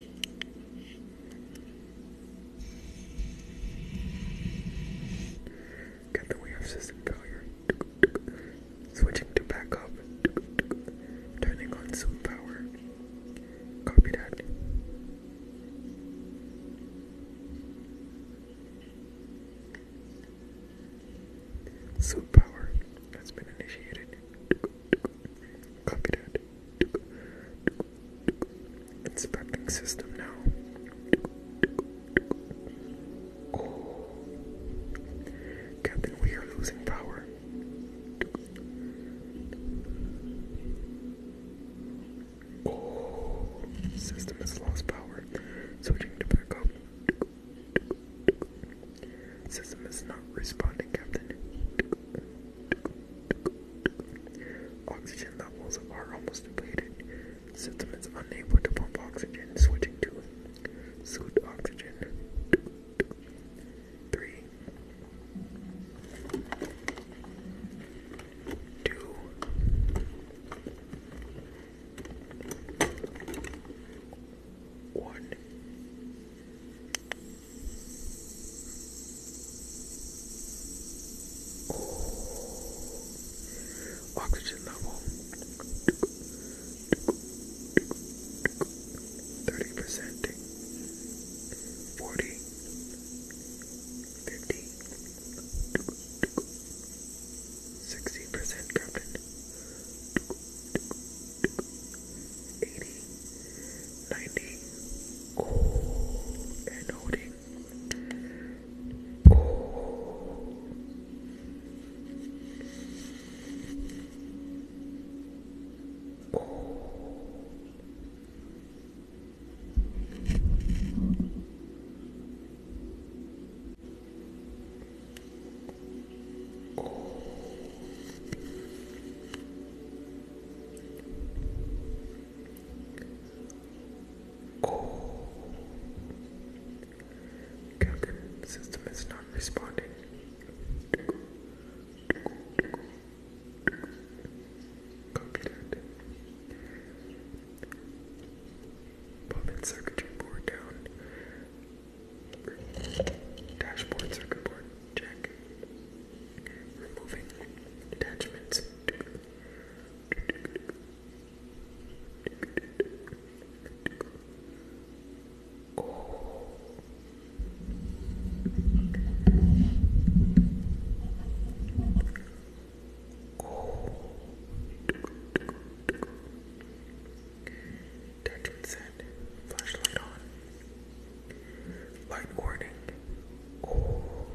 Get the way of system failure. Switching to backup. Turning on some Copy that. Soap power has been initiated. Copy that. It's system now. Captain, we are losing power. system has lost power. Switching to back System is not responding, Captain. Oxygen levels are almost depleted. System is unable to pump oxygen, switching to suit oxygen. Three, two, one. Oh. Oxygen level 30%, 40, 50, 60% carbon, 80, 90 cold and holding cold cold Cold. Oh. Captain system is not responding. Copy that. Puppet board down. Dashboard circuit board check removing attachments. Oh. Oh. Attachment flashlight. on. Light warning. Oh. Oh.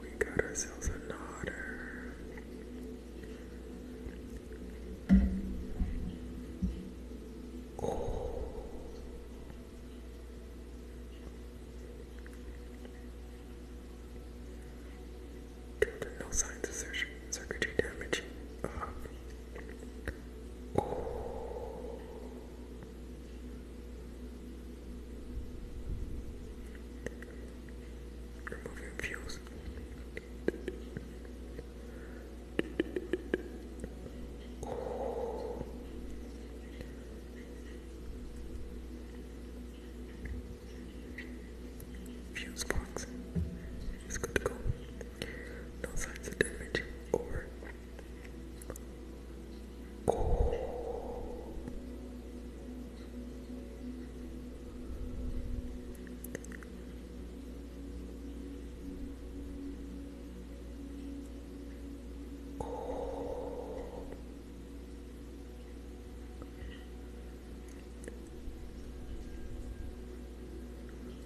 We got ourselves a nodder. Oh. Good, no signs of circuitry damage. Uh, Removing fuels fuse box is good to go. No signs of damage. Over. Oh.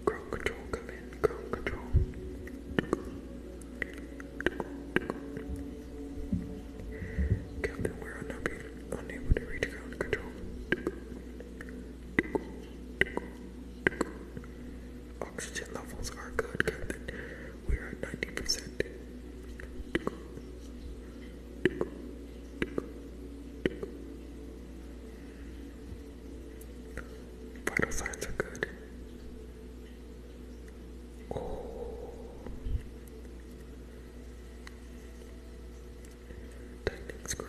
Ground control, come in, ground control. Captain, we're unable, unable to reach ground control. Oxygen levels are good, Captain. We're ninety percent. Vital signs are good. Oh. Tightening screw.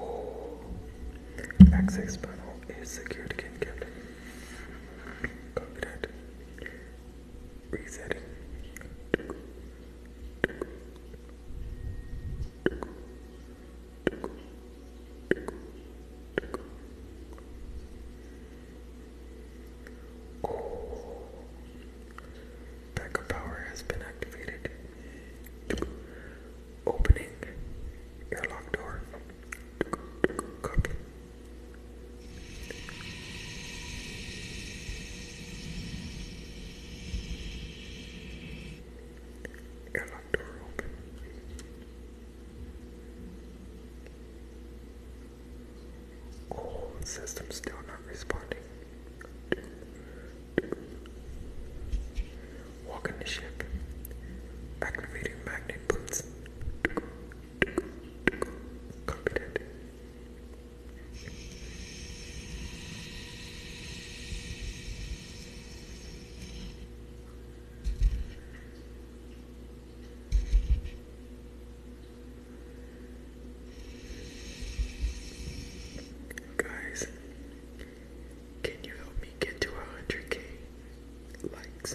Oh, access panel is secured again, Captain. Copy that. Resetting. Oh. Backup power has been activated. Opening airlock door. Airlock door open. Oh, system still not responding. Walk the ship. Activating magnet boots. Competent. Guys, can you help me get to 100k likes?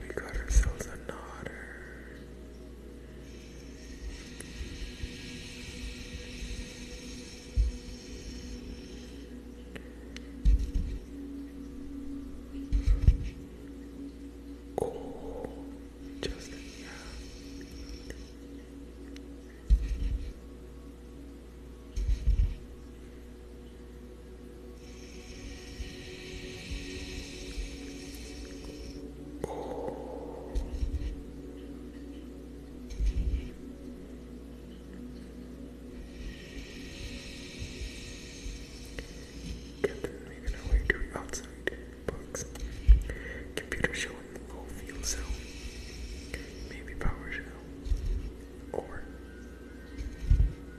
We got ourselves a nodder. just yeah. Captain making to outside box. Computer showing low fuel cell. Maybe power Or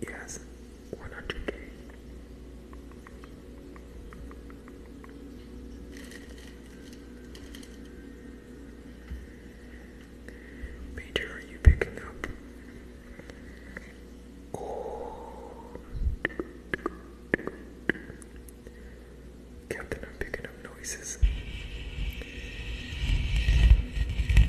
Yes, 100k. Major, are you picking up? Captain, I'm picking up noises.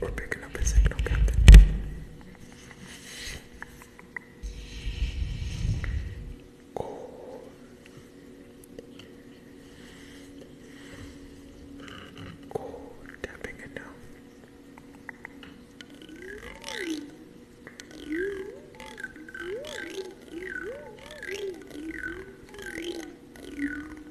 We're picking up his signal, Captain. Oh. Oh, tapping it now.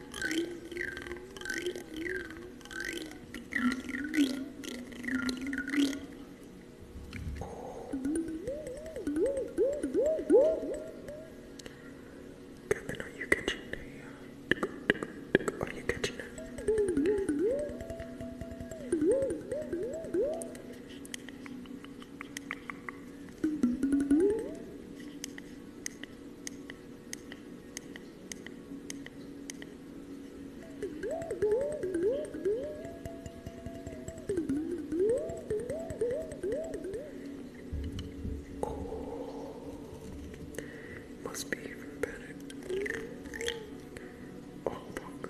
Kevin, are you catching the, uh, are you catching it? Oh, must be even better. Oh, fuck.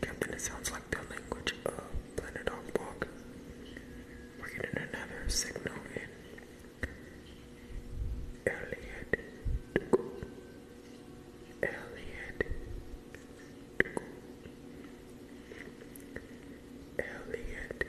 Captain, sounds like the language of Planet Hawk. We're getting another signal in. Elliot Dugu. Elliot Dugu. Elliot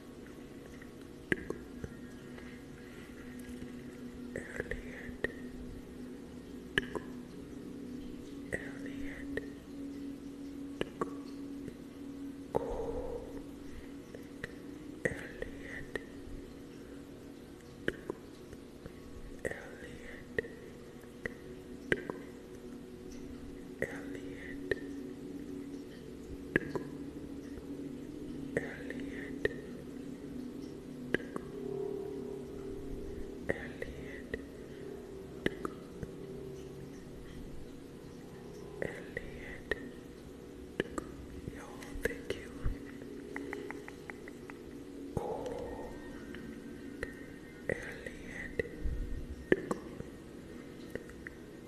Elliot Elliot Go Elliot Elliot Elliot Elliot Elliot Elliot Yo, thank you. Oh, Elliot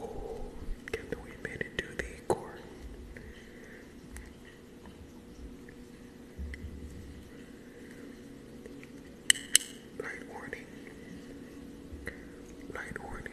Oh, can we made it to the core? Light warning. Light warning.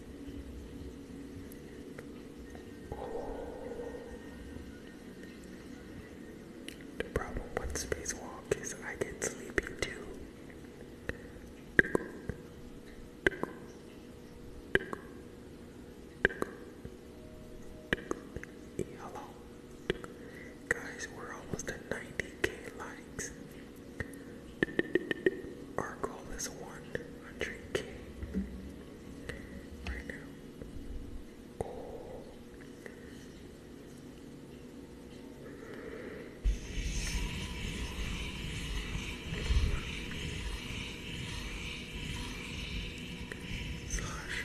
The problem with spacewalk is I get sleepy too. Hello. Guys, we're almost at 90k likes. Our goal is 100k right now. Slash.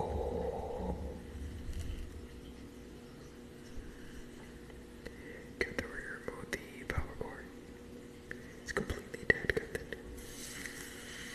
Oh. the rear the power cord? It's completely dead, Captain. Amazing.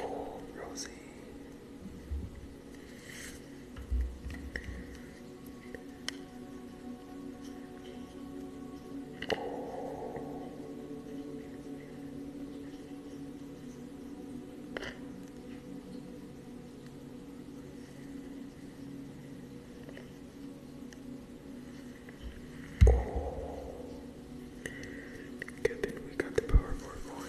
Oh, Rosie. Oh. Oh, good thing we got the power cord going.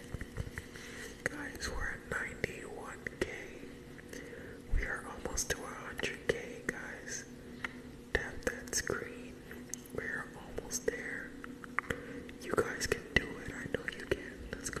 Guys, we're at 91k. We are almost to 100k, guys. Tap that screen. We're almost there. You guys can do it. I know you can. Let's go.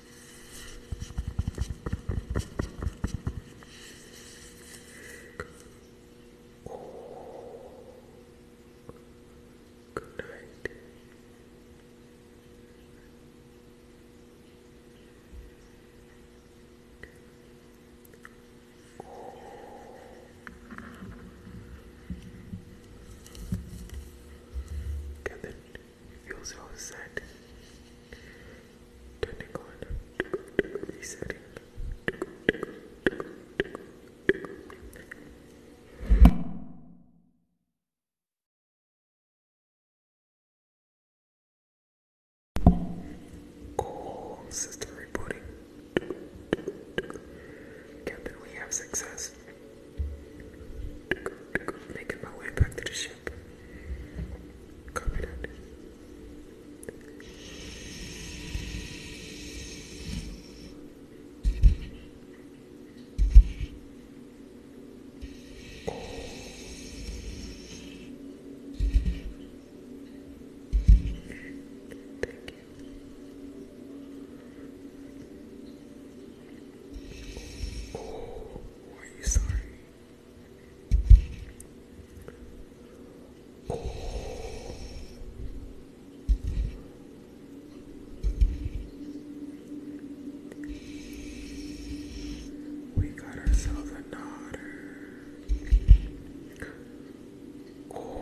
Oh, good night. Oh. Can feels reset. Turning on, resetting. Goal system rebooting. Captain, we have success. Making my way back to the ship. Thank you. Oh, are you sorry? We got ourselves a daughter. Oh.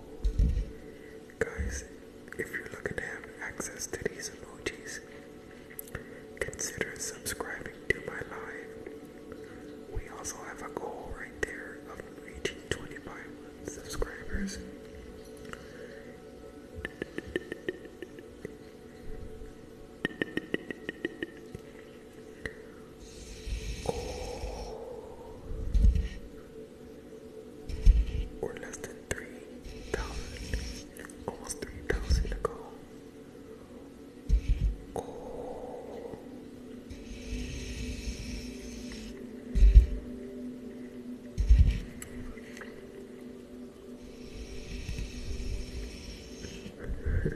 Guys, if you're looking to have access to these emojis, consider subscribing to my live. We also have a goal right there of reaching 25 subscribers or less than 3,000, almost 3,000 ago.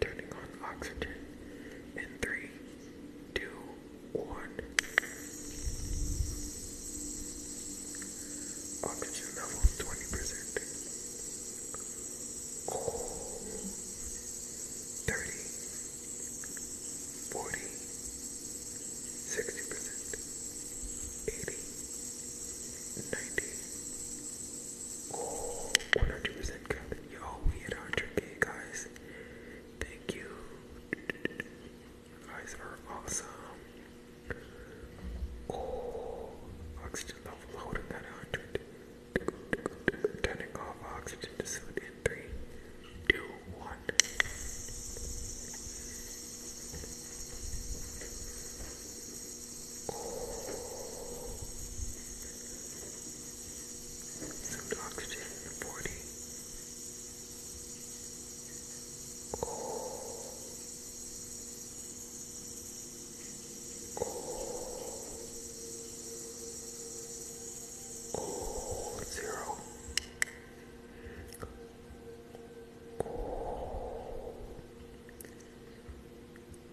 turning on oxygen in three, two, one. Oxygen level 20%. Cool. 30, percent 80, 100% Kevin. Yo, we hit 100k, guys. Thank you. guys are awesome. Oh, oxygen level holding at 100. Turning off oxygen to some oxygen in the body. Oh, zero. Oh.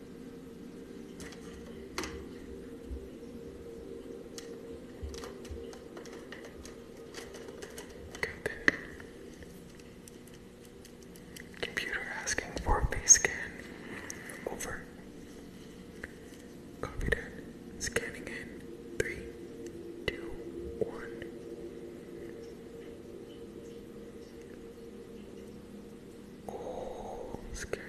Good. Computer asking for face scan. Over. Copy that. Scanning in. Three, two, one. Oh, scan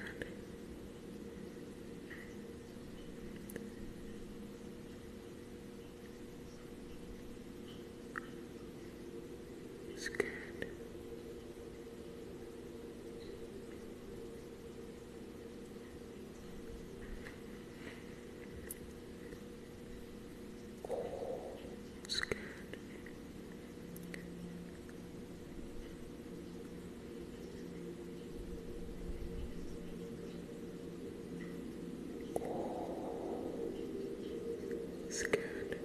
scared. Oh, scared. Oh, scared. Scared.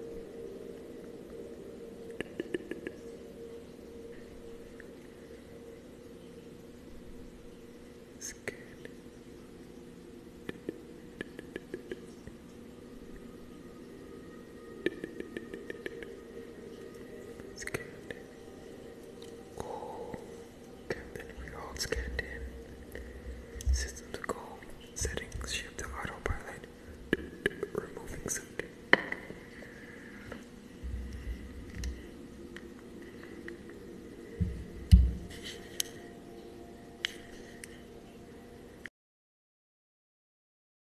It's good. Cool. Captain, we all scanned in. System to Settings, shift to autopilot. Removing suit.